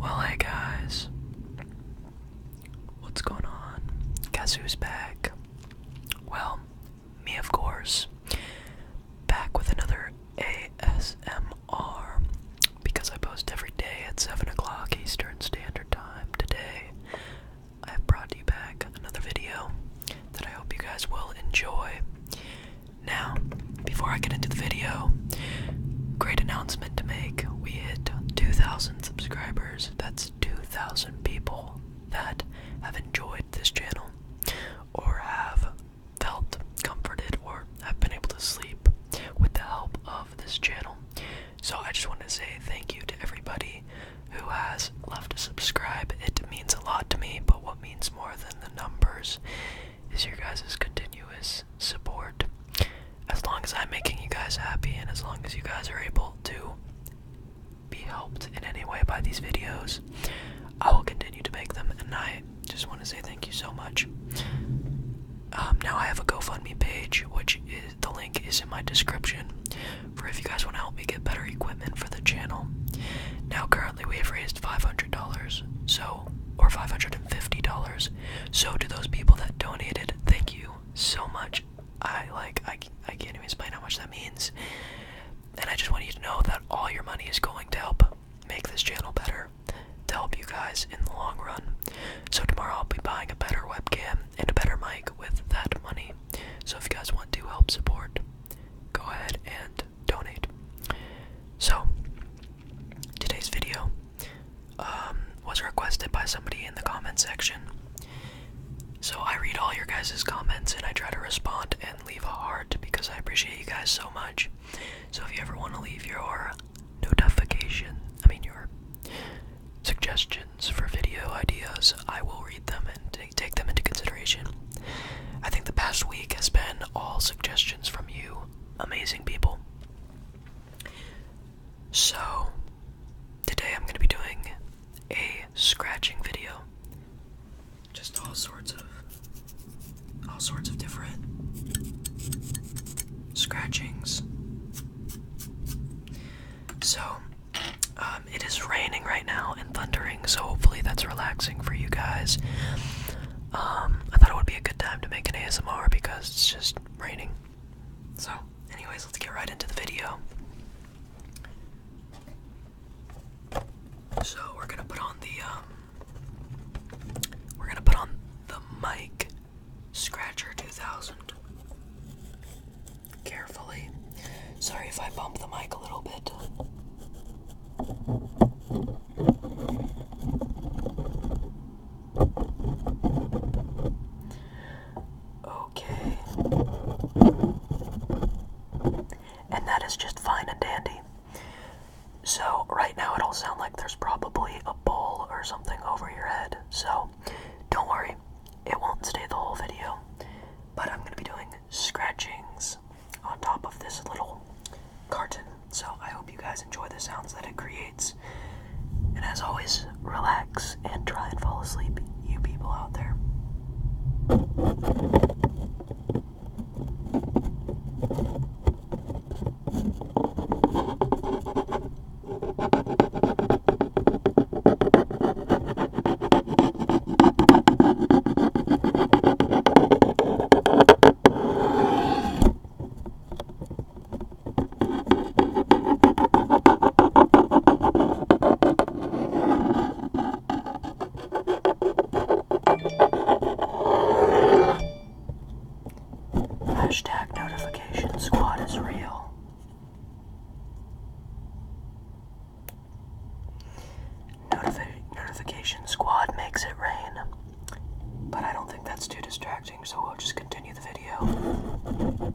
Well, hey guys, what's going on? Guess who's back? Well, me, of course. Back with another ASMR because I post every day at 7 o'clock Eastern Standard Time. Today, I have brought you back another video that I hope you guys will enjoy. Now, before I get into the video, great announcement to make. We hit 2,000 subscribers. That's 2,000 people that have enjoyed this channel or have felt comforted or have been able to sleep with the help of this channel. So I just want to say thank you to everybody who has left a subscribe. It means a lot to me, but what means more than the numbers is your guys' continuous support. As long as I'm making you guys happy and as long as you guys are able to be helped in any way by these videos, I will continue to make them and I just want to say thank you so much. Um, now I have a GoFundMe page, which the link is in my description for if you guys want to help me get better equipment for the channel. Now currently we have raised $500, so, or $550. So, to those people that donated, thank you so much. I like, I, I can't even explain how much that means. And I just want you to know that all your money is going to help make this channel better, to help you guys in the long run. So, tomorrow I'll be buying a better webcam and a better mic with that money. So, if you guys want to help support, go ahead and donate. So, today's video um, was requested by somebody in the comment section. So, I read all your guys' comments and I try to respond and leave a heart because I appreciate you guys so much. So, if you ever want to leave your notification, I mean, your suggestions for video ideas, I will read them and take them into consideration. I think the past week has been all suggestions from you, amazing people. So, today I'm going to be doing a scratching video. Just all sorts of all sorts of different scratchings. So, um, it is raining right now, thundering, so hopefully that's relaxing for you guys. Um, I thought it would be a good time to make an ASMR because it's just raining. So, anyways, let's get right into the video. So we're gonna put on the um, we're gonna put on the mic scratcher 2000 carefully. Sorry if I bump the mic a little bit. Okay. And that is just fine and dandy. So, right now it'll sound like there's probably a ball or something over your head. So, don't worry, it won't stay the whole video. But I'm going to be doing scratchings on top of this little carton. So I hope you guys enjoy the sounds that it creates. And as always, relax and try and fall asleep, you people out there. Hashtag notification squad is real notification squad makes it rain. But I don't think that's too distracting, so we'll just continue the video.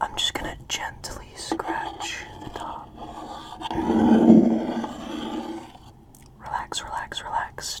I'm just gonna gently scratch the top. Relax, relax, relax.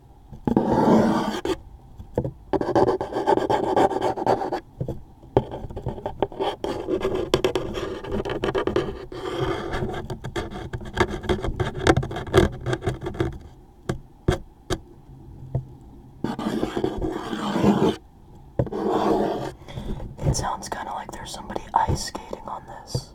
It sounds kind of like there's somebody ice skating on this.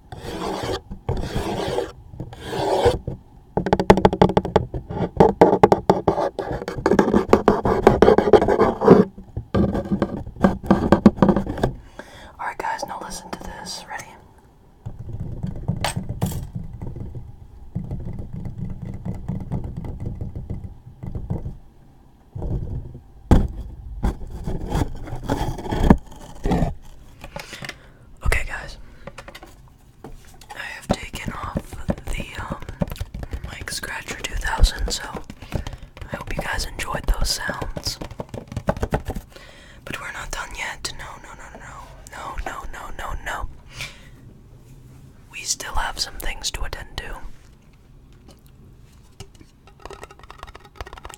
Alright, guys, now listen to this. Ready? Okay, guys. I have taken off the um, mic scratcher 2000, so I hope you guys enjoyed those sounds. But we're not done yet. No, no, no, no, no, no, no, no, no. We still have some things to attend to.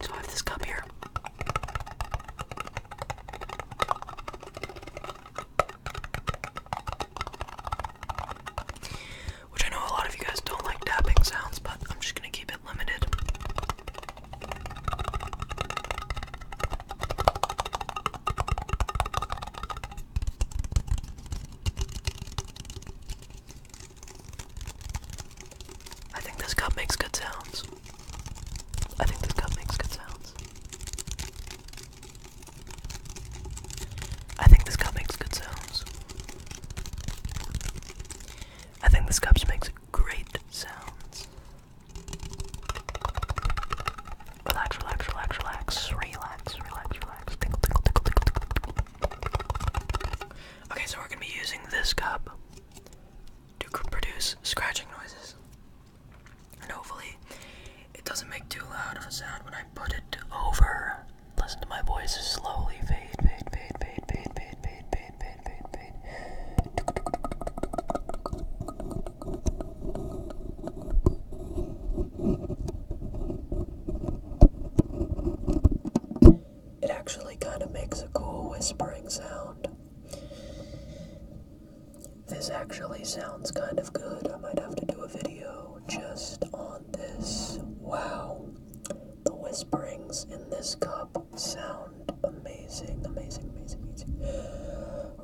So I have this cup here. Which I know a lot of you guys don't like tapping sounds, but I'm just gonna keep it limited. I think this cup makes good sounds. I think this cup makes good sounds. I think this cup makes good sounds. I think this cup makes great sounds. Relax, relax, relax, relax, relax, relax, relax. Tinkle, tinkle, tinkle, tinkle, tinkle. Okay, so we're gonna be using this cup to produce scratching noises. And hopefully, it doesn't make too loud of a sound when I put it over. Listen to my voice slowly fade, fade, fade, fade, fade, fade, fade, fade, fade, fade, fade it actually kind of makes a cool whispering sound. This actually sounds kind of good. I might have to do a video just on this. Wow. The whisperings in this cup sound amazing, amazing, amazing, amazing.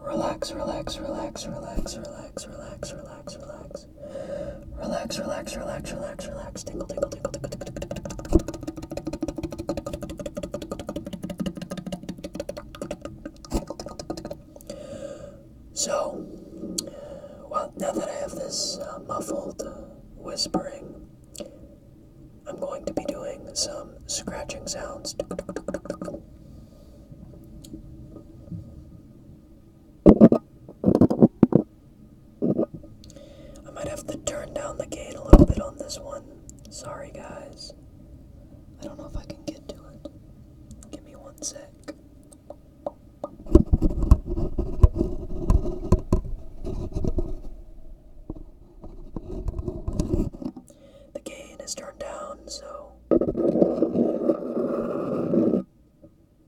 Relax, relax, relax, relax, relax, relax, relax, relax. Relax, relax, relax, relax, relax. Tingle, tingle, tingle, tingle, tingle, tingle, tingle, tingle. So, well, now that I have this uh, muffled whispering, I'm going to be doing some scratching sounds. I might have to turn down the gain a little bit on this one. Sorry, guys. I don't know if I can get to it. Give me one sec. The gain is turned down, so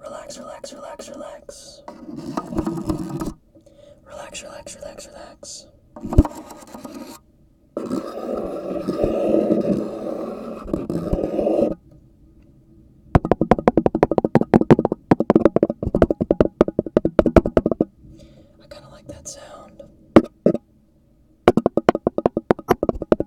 Relax, relax, relax, relax. Relax, relax, relax, relax. I kind of like that sound.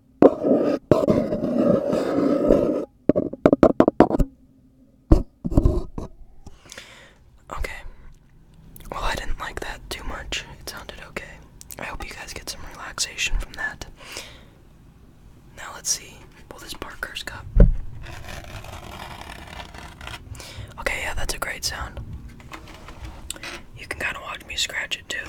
Okay. Well, I didn't like that too much. It sounded okay. I hope you guys get some relaxation from that. Now, let's see. Well, this Parker's cup. Okay, yeah, that's a great sound. You can kind of watch me scratch it too.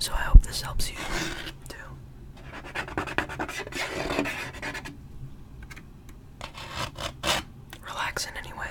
So I hope this helps you too. Relax in any way.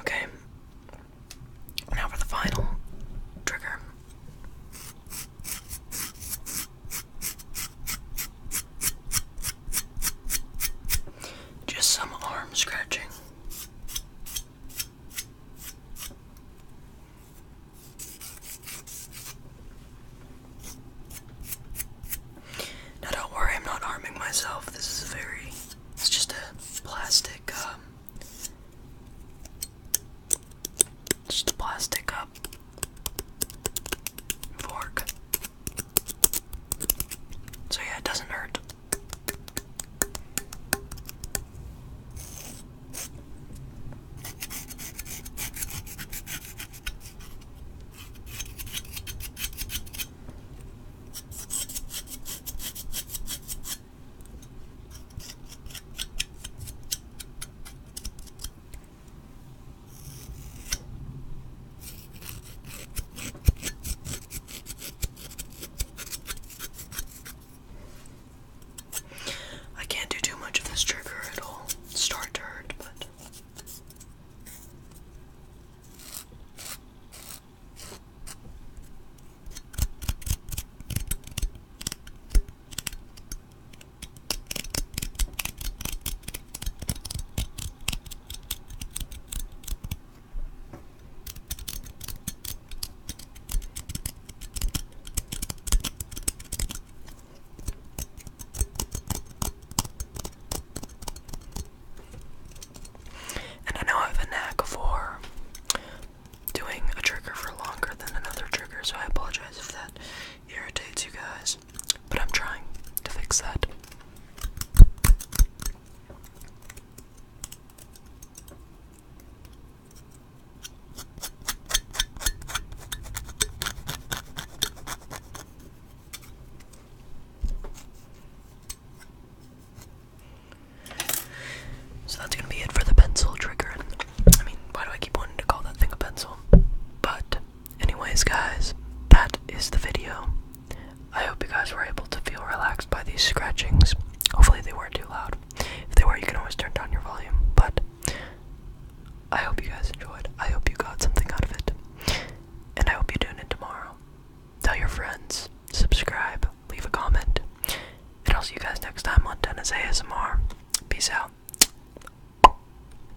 Okay. Now for the final trigger. Just some arm scratching. Now, don't worry, I'm not arming myself. This is very. It's just a plastic, um, Just a plastic um, fork. So yeah, it doesn't hurt. I can't do too much of this trigger, it'll to hurt, but. And I know I have a knack for doing a trigger for longer than another trigger, so I apologize if that irritates you guys but I'm trying to fix that. So that's going to be it for the pencil trigger. I mean, why do I keep wanting to call that thing a pencil? But Anyways, guys, that is the video. I hope you guys were able to feel relaxed by these scratchings. Hopefully, they weren't too loud. If they were, you can always turn down your volume. But I hope you guys enjoyed. I hope you got something out of it. And I hope you tune it tomorrow. Tell your friends, subscribe, leave a comment. And I'll see you guys next time on Dennis ASMR. Peace out.